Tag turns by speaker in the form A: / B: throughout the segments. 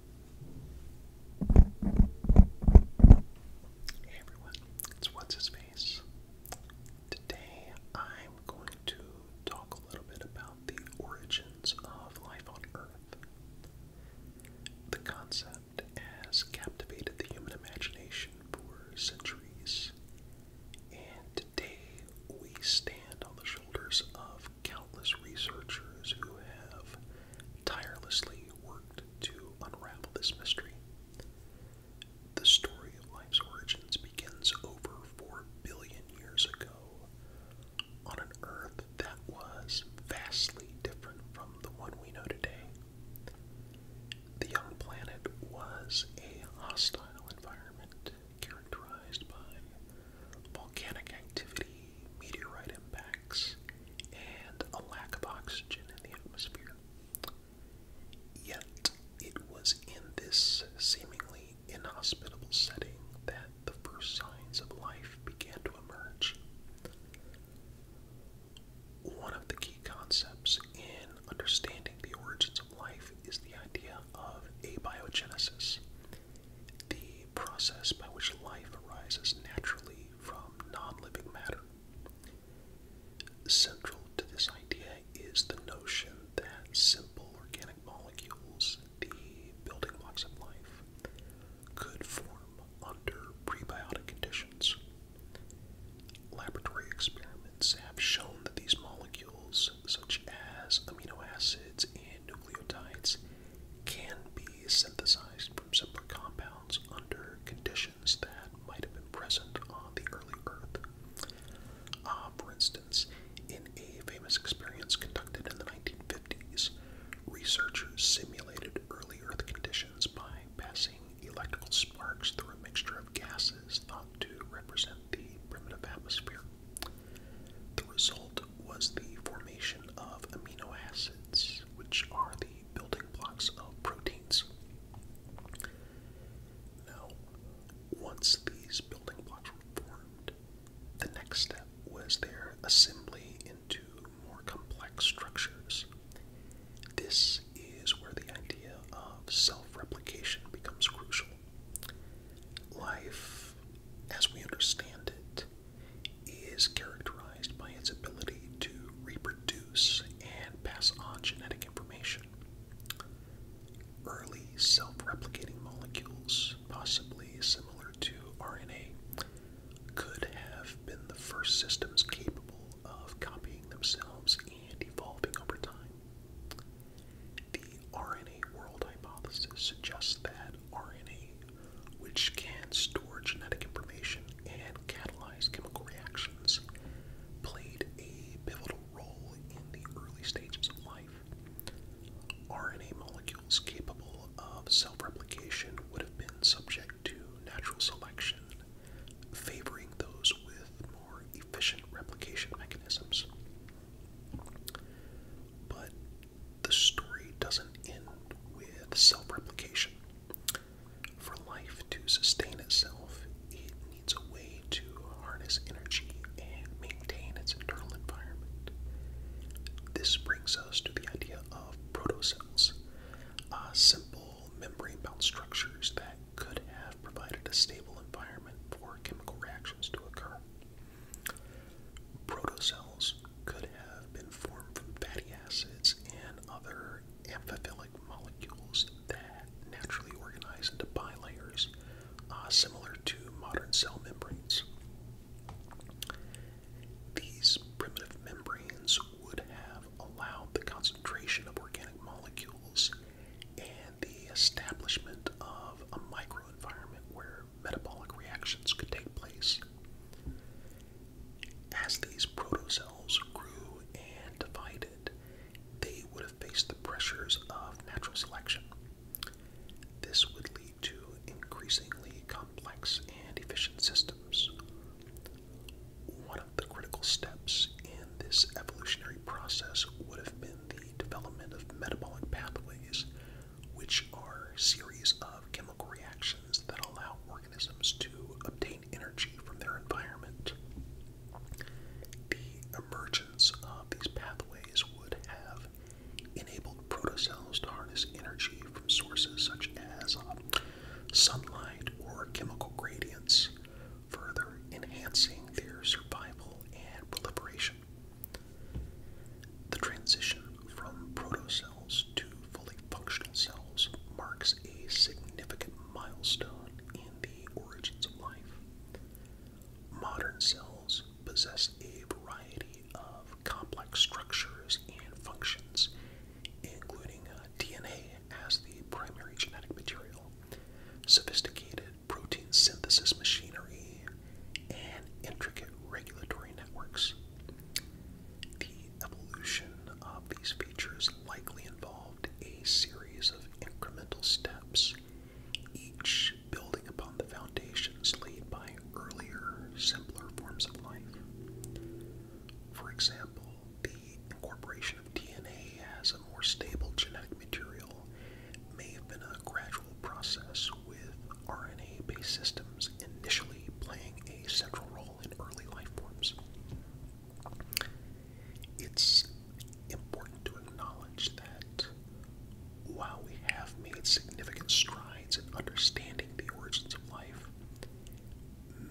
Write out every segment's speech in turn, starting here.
A: Hey everyone, it's What's His Face. Today I'm going to talk a little bit about the origins of life on Earth. The concept has captivated the human imagination for centuries, and today we stand on the shoulders of countless researchers who have tirelessly worked to unravel this mystery. The story of life's origins begins over 4 billion years ago on an Earth that was vastly different from the one we know today. The young planet was a hostile environment characterized by volcanic activity, meteorite impacts, and a lack of oxygen in the atmosphere. Yet, it was in this seemingly inhospitable setting that the first signs of life began to emerge. One of the key concepts in understanding the origins of life is the idea of abiogenesis, the process by which life arises naturally from non living matter. Central to this idea is the notion that simple organic molecules, the building blocks of life, could form under prebiotic conditions. Laboratory experiments have shown that these molecules, such as amino acids and nucleotides can be synthesized from simpler compounds under conditions that might have been present on the early Earth. Uh, for instance, in a famous experiment conducted in the 1950s, researchers simulated early Earth conditions by passing electrical sparks through a mixture of gases thought to represent the primitive atmosphere. The result was the formation of amino acids, which are the building blocks of proteins. Now, once these building blocks were formed, the next step was their assembly into more complex structures. This is where the idea of self replication becomes crucial. Life as we understand it, is characterized by its ability to reproduce and pass on genetic information. Early self replicating molecules, possibly similar to RNA, could have been the first systems capable of copying themselves and evolving over time. The RNA world hypothesis suggests that RNA, which can store genetic information and catalyze chemical reactions, played a pivotal role in the early stages of life. RNA molecules capable of self replication would have been subject to natural selection, favoring those with more efficient replication mechanisms. But the story doesn't end with self replication. For life to sustain itself, it needs a way to harness energy and maintain its internal environment. This brings us to the idea of protocells, uh, simple membrane bound structures that could have provided a stable environment for chemical reactions to occur. Protocells could have been formed from fatty acids and other amphiphilic molecules that naturally organize into bilayers, uh, similar to modern cell membranes. These primitive membranes would have allowed the concentration of organic molecules and the establishment of a microenvironment where metabolic reactions could take place. As these protocells grew and divided, they would have faced the pressures of natural selection. This would lead to increasingly complex and efficient systems. One of the critical steps in this evolutionary process would have been the development of metabolic pathways, which are series of chemical reactions that allow organisms to obtain energy from their environment. The emergence of these pathways would have enabled protocells to harness energy from sources such as uh, sunlight or chemical gradients, further enhancing their survival and proliferation. The transition from protocells to fully functional cells marks a significant milestone in the origins of life. Modern cells possess a variety of complex structures and functions, including uh, DNA as the primary genetic material, sophisticated protein synthesis machinery, and intricate regulatory networks. The evolution of these features likely involved a series of incremental steps, each building upon the foundations laid by earlier, simpler forms of life. For example, the incorporation of DNA as more stable genetic material may have been a gradual process with RNA-based systems initially playing a central role in early life forms. It's important to acknowledge that while we have made significant strides in understanding the origins of life,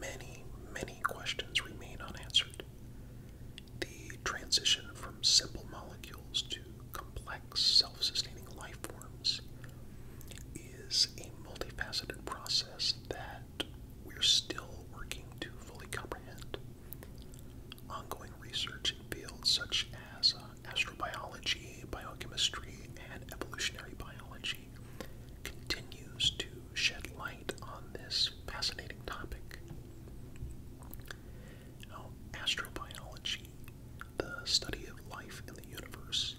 A: many, many questions remain unanswered the transition from simple molecules to complex, self sustaining life forms is a multifaceted process that we're still working to fully comprehend. Ongoing research in fields such as uh, astrobiology, biochemistry, and evolutionary biology continues to shed light on this fascinating topic. Now, astrobiology, the study of life in the universe,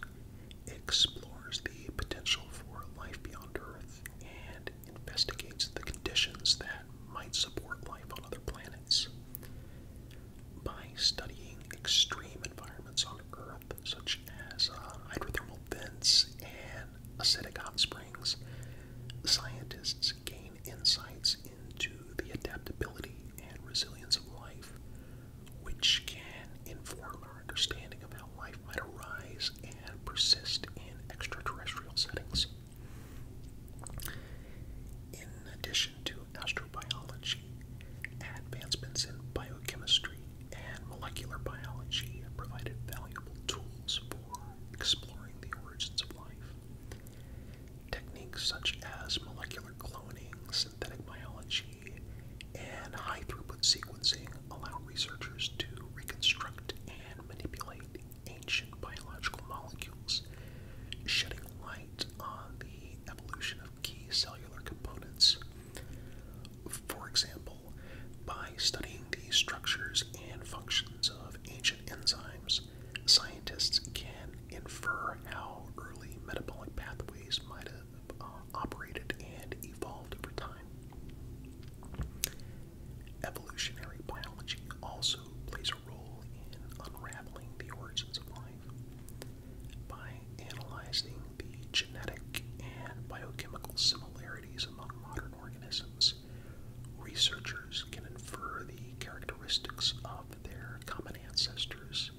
A: explores the potential for life beyond Earth and investigates the conditions that might support life on other planets. By studying extreme environments on Earth, such as uh, hydrothermal vents and acidic hot springs, scientists gain insights into the adaptability and resilience of life, which can inform our understanding of how life might arise and persist in extraterrestrial settings. In addition to astrobiology, advancements in biochemistry and molecular biology have provided valuable tools for exploring the origins of life. Techniques such as molecular cloning, synthetic biology, and high throughput sequencing allow researchers to reconstruct and manipulate ancient biological molecules, shedding light on the evolution of key cellular components. For example, by studying the structures and functions of ancient enzymes, scientists can infer how early metabolic pathways might have uh, operated and evolved over time. Evolutionary biology also plays a role in unraveling the origins of life. By analyzing the genetic and biochemical similarities among modern organisms, researchers can infer the characteristics of their common ancestors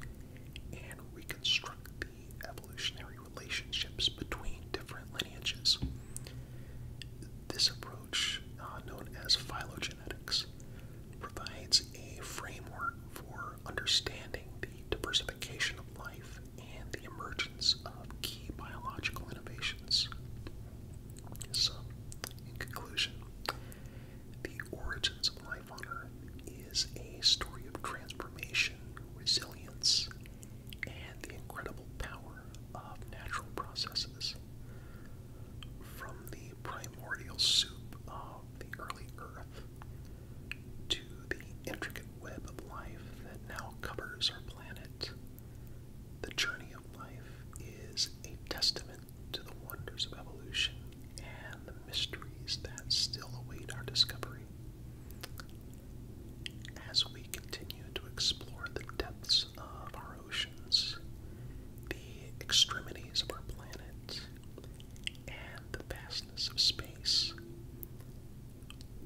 A: and reconstruct the evolutionary relationships between different lineages. This approach, uh, known as phylogenetics, provides a framework for understanding the diversification of life and the emergence of key biological innovations. So, in conclusion, the origins of life on Earth is a story of transformation, resilience, and the incredible power of natural processes. From the primordial soup of the early Earth to the intricate web of life that now covers our planet, the journey of life is a testament to the wonders of evolution and the mysteries that still await our discovery. As we continue to explore the depths of our oceans, the extremities of our planet, and the vastness of space,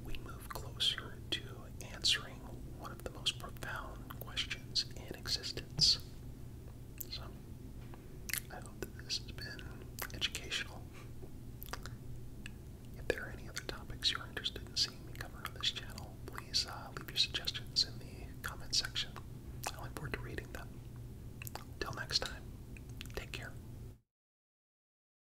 A: we move closer to answering one of the most profound questions in existence. So, I hope that this has been educational. If there are any other topics you're interested in seeing me cover on this channel, please uh, leave your suggestions in the comment section. I look forward to reading them. Till next time, take care.